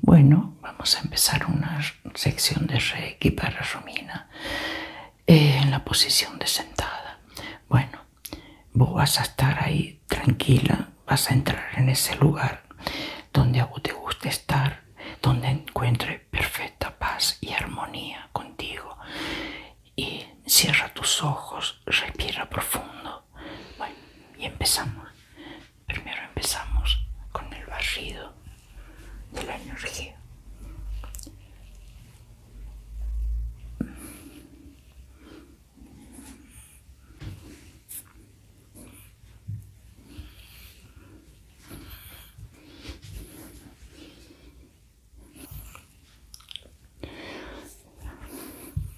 Bueno, vamos a empezar una sección de reequipar para Romina eh, en la posición de sentada. Bueno, vos vas a estar ahí tranquila, vas a entrar en ese lugar donde a vos te guste estar, donde encuentre perfecta paz y armonía contigo. Y cierra tus ojos, respira profundo. Bueno, y empezamos. Primero empezamos con el barrido de la energía.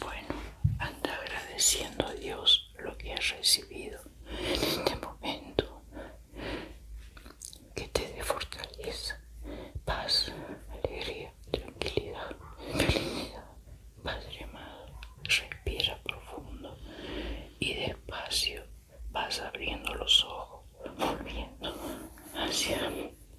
Bueno, anda agradeciendo a Dios lo que has recibido en este momento. Que te dé fortaleza, paz, alegría, tranquilidad, felicidad. Padre amado, respira profundo y despacio vas abriendo los ojos, volviendo hacia mí